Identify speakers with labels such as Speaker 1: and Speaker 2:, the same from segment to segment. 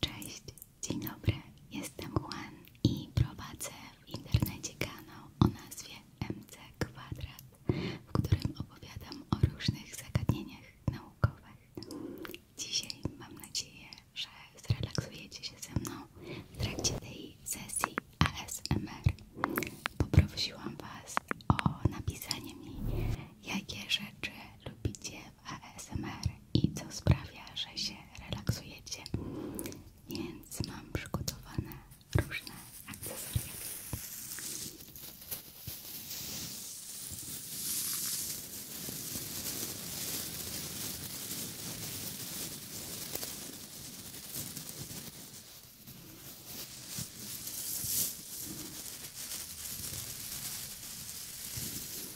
Speaker 1: Cześć, dzień dobry, jestem Juan i prowadzę w internecie kanał o nazwie MC Kwadrat, w którym opowiadam o różnych zagadnieniach naukowych. Dzisiaj mam nadzieję, że zrelaksujecie się ze mną w trakcie tej sesji ASMR. Poprosiłam Was o napisanie mi, jakie rzeczy lubicie w ASMR i co sprawia, że się relaksujecie, więc mam przygotowane różne akcesoria.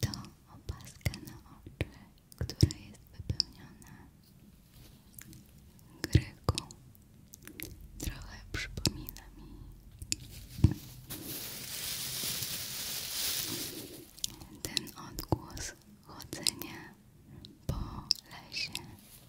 Speaker 1: To opaska na oczy, która jest wypełniona gryką. Trochę przypomina mi ten odgłos chodzenia po lesie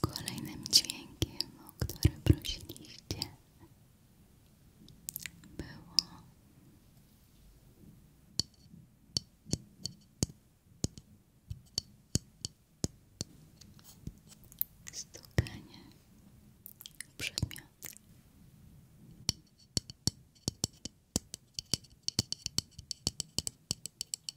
Speaker 1: Kolejnym dźwiękiem, o który prosiliście, było stukanie przedmiot.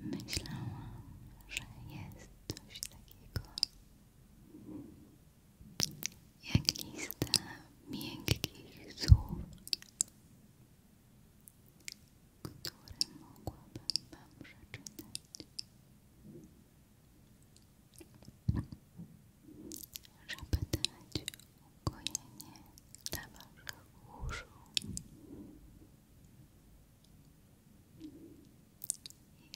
Speaker 1: Myślałam, że jest coś takiego jak lista miękkich słów który mogłabym Wam przeczytać. Żeby dać uspokojenie, dla Waszych uszu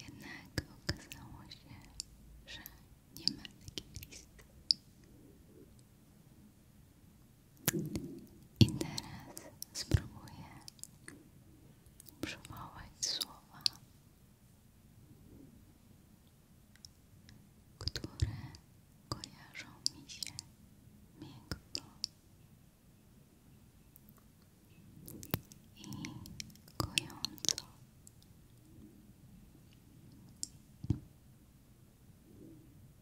Speaker 1: jednak okazało się, że nie ma takiej listy. I teraz spróbuję przywołać słowa, które kojarzą mi się miękko i kojąco.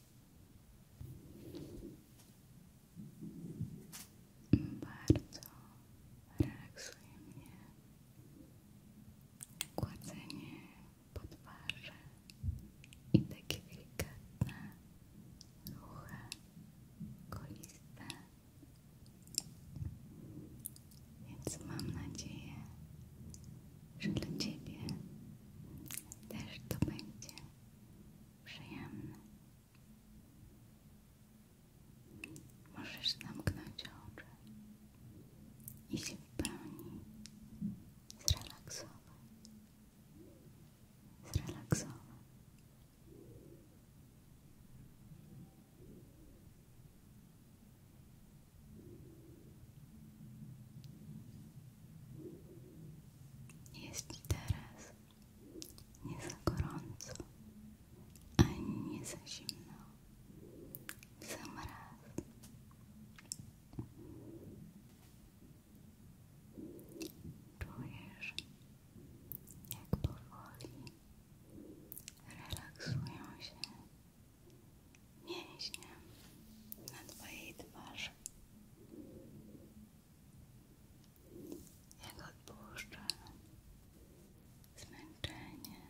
Speaker 1: Bardzo relaksuje mnie kładzenie po twarzy i takie delikatne ruchy koliste więc mam nadzieję, że dla Ciebie też to będzie przyjemne. Możesz zamknąć oczy i się w pełni zrelaksować. Zrelaksować. Jest ci teraz nie gorąco, ani nie za zimno. W sam raz. Czujesz, jak powoli relaksują się mięśnie na Twojej twarzy. Jak odpuszcza zmęczenie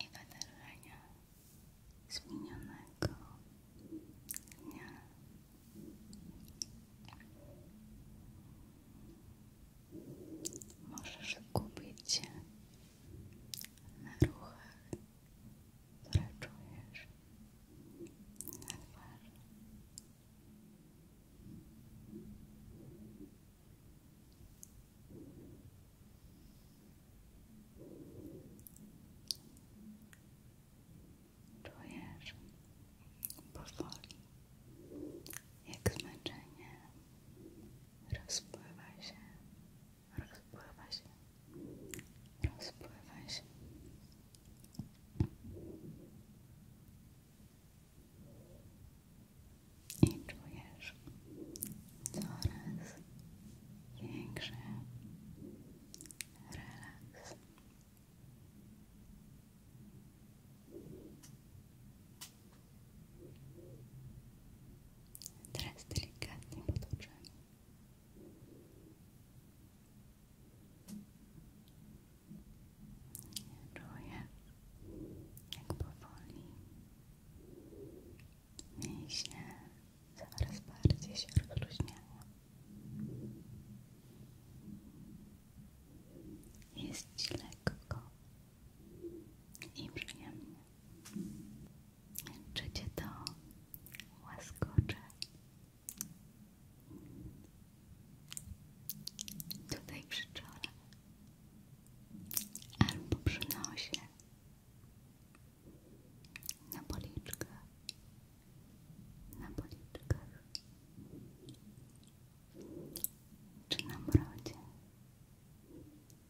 Speaker 1: i wydarzenia z minionego dnia. Możesz kupić na ruchach, które czujesz, na twarzy. Czujesz powoli, jak zmęczenie rozpływa się Rozpływa się. Rozpływa się. I czujesz coraz większy relaks. Teraz delikatnie potoczamy. Czuję, jak mięśnie coraz bardziej się rozluźniają. Jest lekko i przyjemnie. Czy cię to łaskocze? Tutaj przy czole albo przy nosie na policzkach na policzkach czy na brodzie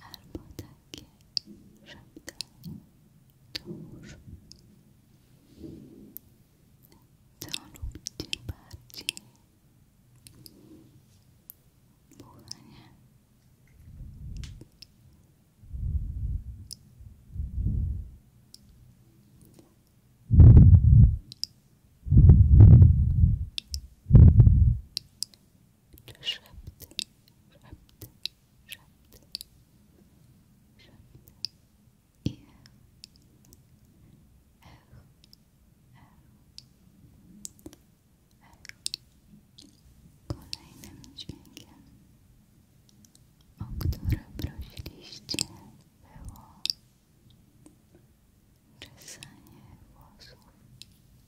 Speaker 1: albo takie szeptanie dusz. Co lubicie bardziej? Buchanie. Czy Szept, szept, szept, szept. I ech, e, e, e. Kolejnym dźwiękiem, o który prosiliście, było czesanie włosów.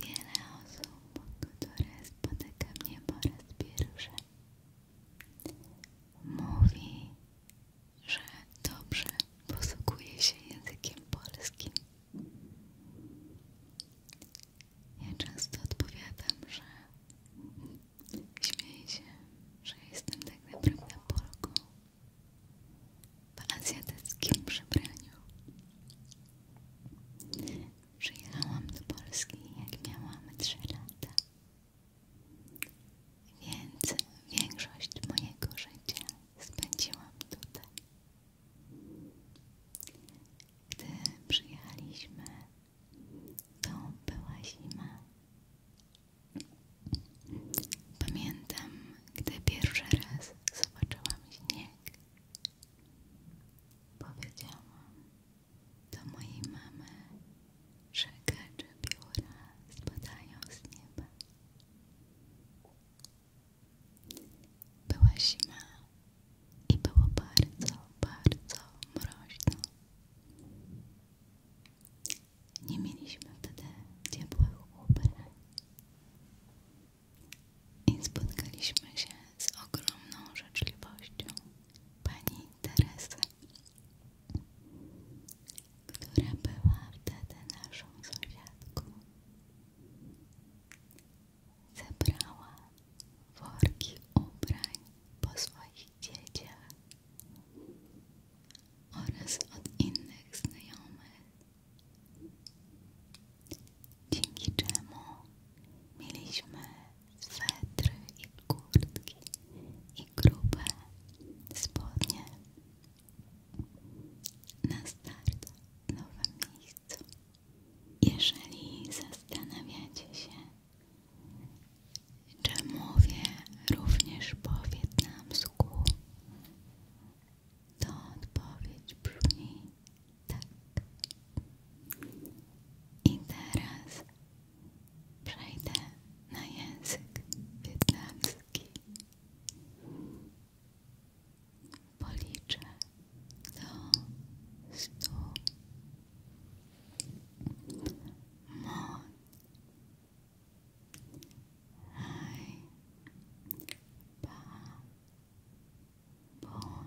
Speaker 1: Wiele osób, które spotyka mnie po raz pierwszy Mówi, że dobrze posługuje się językiem polskim. Ja często odpowiadam, że śmieję się, że jestem tak naprawdę Polką w azjatyckim przebraniu. Przyjechałam do Polski, jak miałam 3 lata. Więc większość mojego życia spędziłam tutaj. Gdy przyjechaliśmy, to była zima. Pamiętam, gdy pierwszy raz zobaczyłam śnieg. Powiedziałam, do mojej mamy, że gacze pióra spadają z nieba. Była zima i było bardzo, bardzo mroźno. Nie mieliśmy wtedy ciepłych ubrań i spotkaliśmy się z ogromną życzliwością pani Teresy, która była wtedy naszą sąsiadką. Zebrała worki ubrań po swoich dzieciach oraz od innych znajomych, dzięki czemu mieliśmy swetry i kurtki i grube spodnie na start w nowym miejscu. Jeżeli zastanawiacie się, czy mówię również po wietnamsku, to odpowiedź brzmi tak. I teraz przejdę na język wietnamski. Policzę do stu. Mon. Hai. Pa. Bon.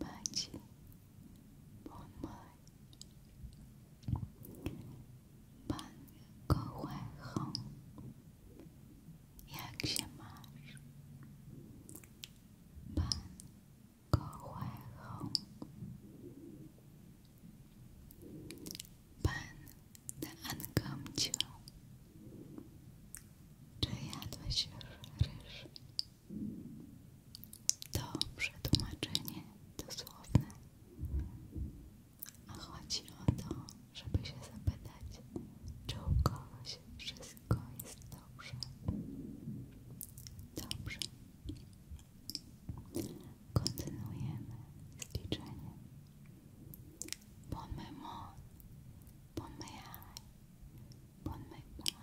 Speaker 1: Macie pomaj. Pan kołechą. Jak się masz? Pan kołechą. Pan na Czy jadłeś już ryż? To przetłumaczenie dosłowne. A chodzi o to, żeby się zapytać, czy u kogoś wszystko jest dobrze. Dobrze. Kontynuujemy z liczeniem. Bon mémoire, bon mémoire, bon mémoire,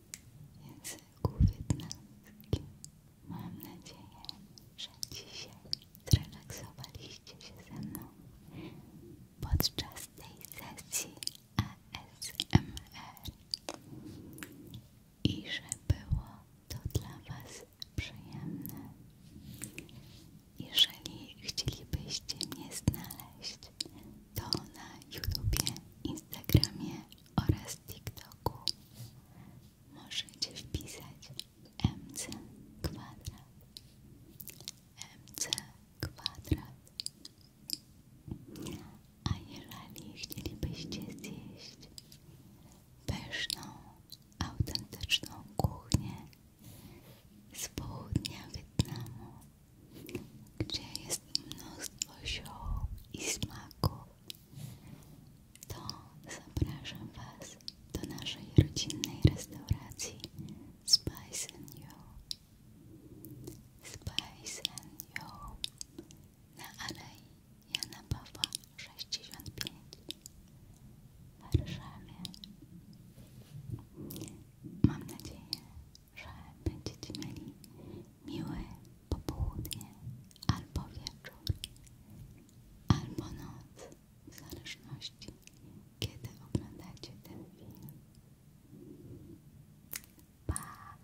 Speaker 1: języku wietnamskim. Mam nadzieję, że dzisiaj zrelaksowaliście się ze mną podczas tej sesji ASMR i że było to dla Was przyjemne. Jeżeli chcielibyście mnie znaleźć, to na YouTubie, Instagramie oraz TikToku możecie wpisać mc kwadrat mc kwadrat a jeżeli chcielibyście zjeść pyszną, autentyczną kuchnię z południa Wietnamu, gdzie jest mnóstwo zioł i smaków to zapraszam Was do naszej rodzinnej restauracji Spice and You. Spice and You na Alei Jana Pawła 65 w Warszawie. Mam nadzieję, że będziecie mieli miłe popołudnie albo wieczór, albo noc, w zależności kiedy oglądacie ten film. Pa!